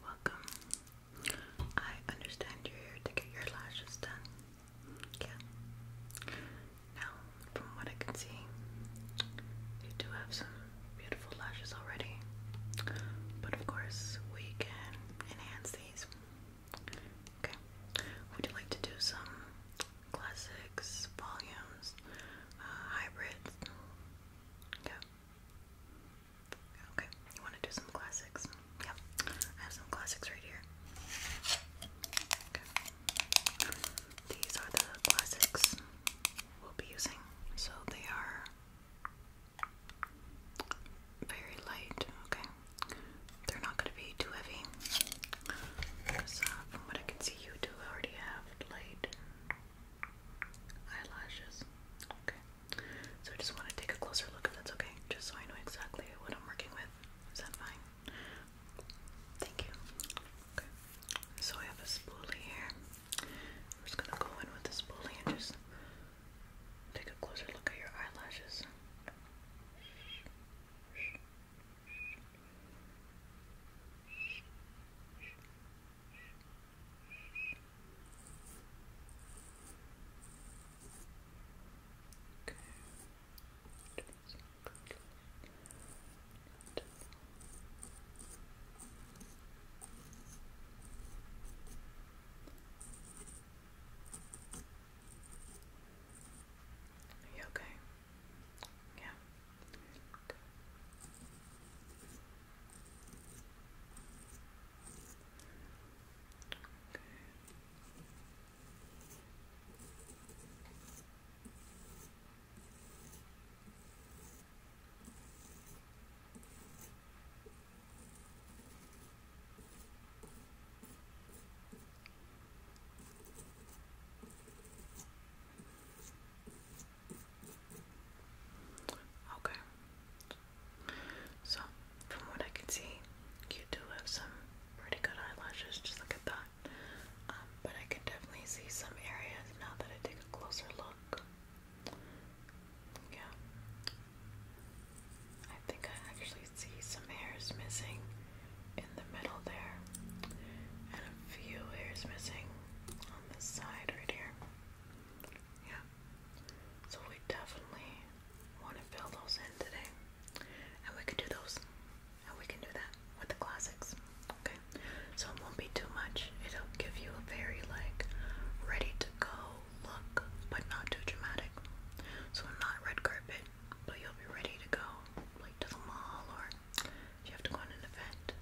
Welcome. I understand you're here to get your lashes done. Yeah. Now, from what I can see, you do have some beautiful lashes already. But of course, we can enhance these. Okay. Would you like to do some classics, volumes, uh, hybrids. Yeah. Okay, you want to do some classics? Yep, I have some classics right here. Okay. These are the classics we'll be using. So they are very light, okay? They're not going to be too heavy. Uh, from what I can see, you do already have light eyelashes. Okay. So I just want to take a closer look if that's okay, just so I know exactly what I'm working with. Is that fine? Thank you. Okay. So I have a spoolie here. I'm just gonna go in with the spoolie and just take a closer look at your eyelashes. Are you okay? Yeah. Good. Okay. Okay. Okay. So, from what I can see, you do have some pretty good eyelashes. Just look at that. Um, but I can definitely see some areas now that I take a closer look. Yeah. I think I actually see some hairs missing in the middle there, and a few hairs missing on this side right here. Yeah. So we definitely want to fill those in today. And we can do those. And we can do that with the classics. Okay. So it won't be too much. It'll give you a very like ready to go look, but not too dramatic. So not red carpet, but you'll be ready to go like to the mall or you have to go on an event,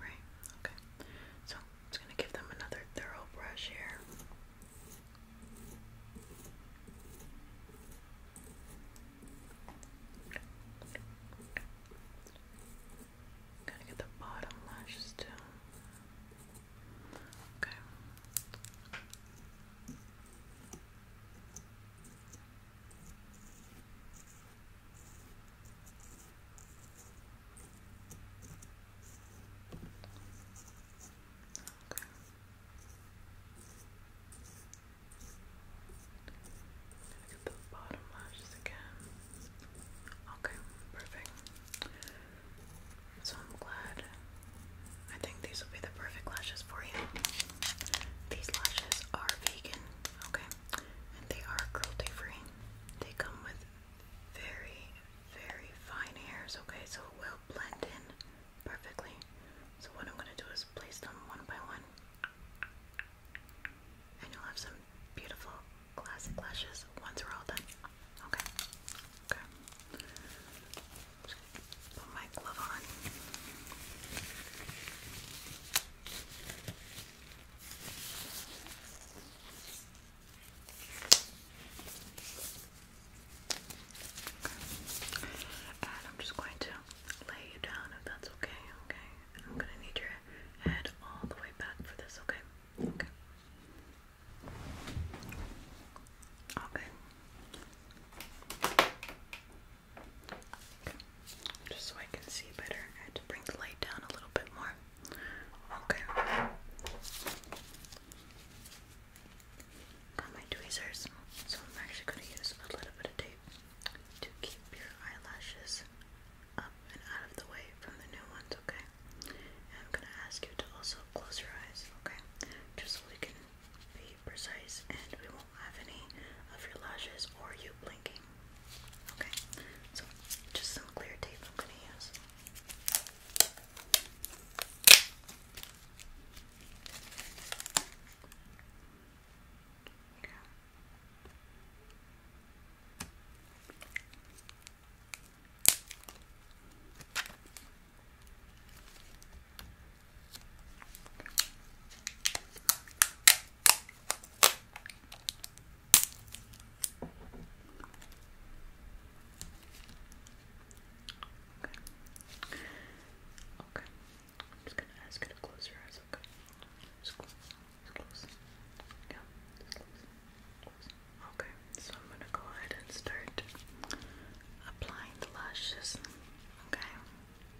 right? Okay. So i gonna give them another thorough brush here. Gotta get the bottom lashes too. Okay. Look at the bottom lashes again. Okay, perfect. So I'm glad. I think these will be the perfect lashes for you. These lashes are vegan Okay, and they are cruelty free. They come with very, very fine hairs, okay, so it will blend in perfectly. So, what I'm going to do is place them one by one, and you'll have some beautiful classic lashes once we're all done. Okay, okay. Just put my glove on. And I'm just going to lay you down if that's okay, okay? I'm gonna need your head all the way back for this, okay? Okay. Okay. Just so I can see better, I have to bring the light down a little bit more. Okay. Got my tweezers, so I'm actually going to use a little bit of tape to keep your eyelashes up and out of the way from the new ones, okay? I'm going to ask you to also close your eyes, okay? Just so we can precise and we won't have any of your lashes or you blinking. Okay, so just some clear tape I'm going to use. Okay. Okay. I'm just gonna ask you to close your eyes, okay? Just close. Just close. Yeah, just Close. Okay, so I'm gonna go ahead and start applying the lashes. Okay.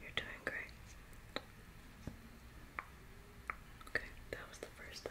You're doing great. Okay, that was the first eye.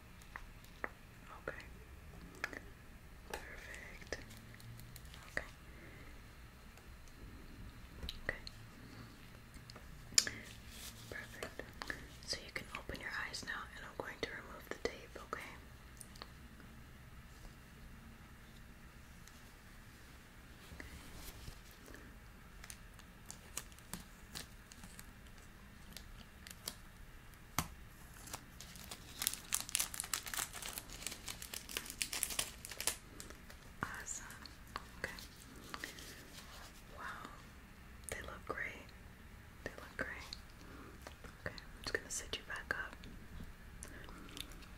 Okay. Perfect. Okay. Okay. Perfect. So you can open your eyes now and I'm going to remove the tape, okay? Awesome. Okay. Wow. They look great. They look great. Okay, I'm just gonna set you back up.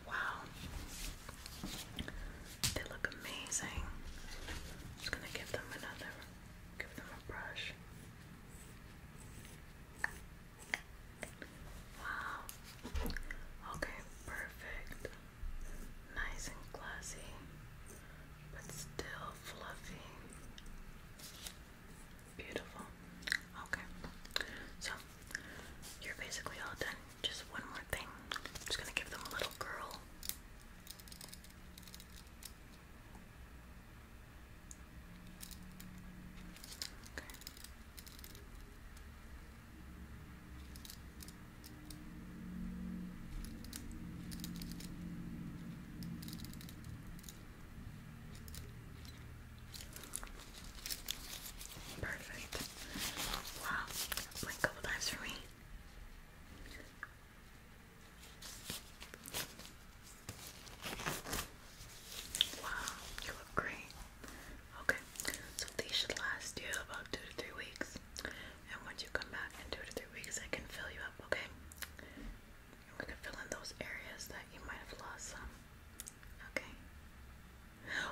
Wow. They look amazing. I'm just gonna give them another give them a brush. Wow. Okay, perfect. Nice and classy, but still fluffy. Beautiful. Okay. So, you're basically all done. Just one more thing. just gonna give them a little curl. Okay. Perfect. Wow, blink couple times for me. Wow, you look great. Okay, so these should last you about two to three weeks. And once you come back in two to three weeks, I can fill you up, okay? And we can fill in those areas that you might have lost some. Okay?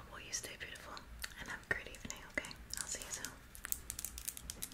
Well, you stay beautiful and have a great evening, okay? I'll see you soon.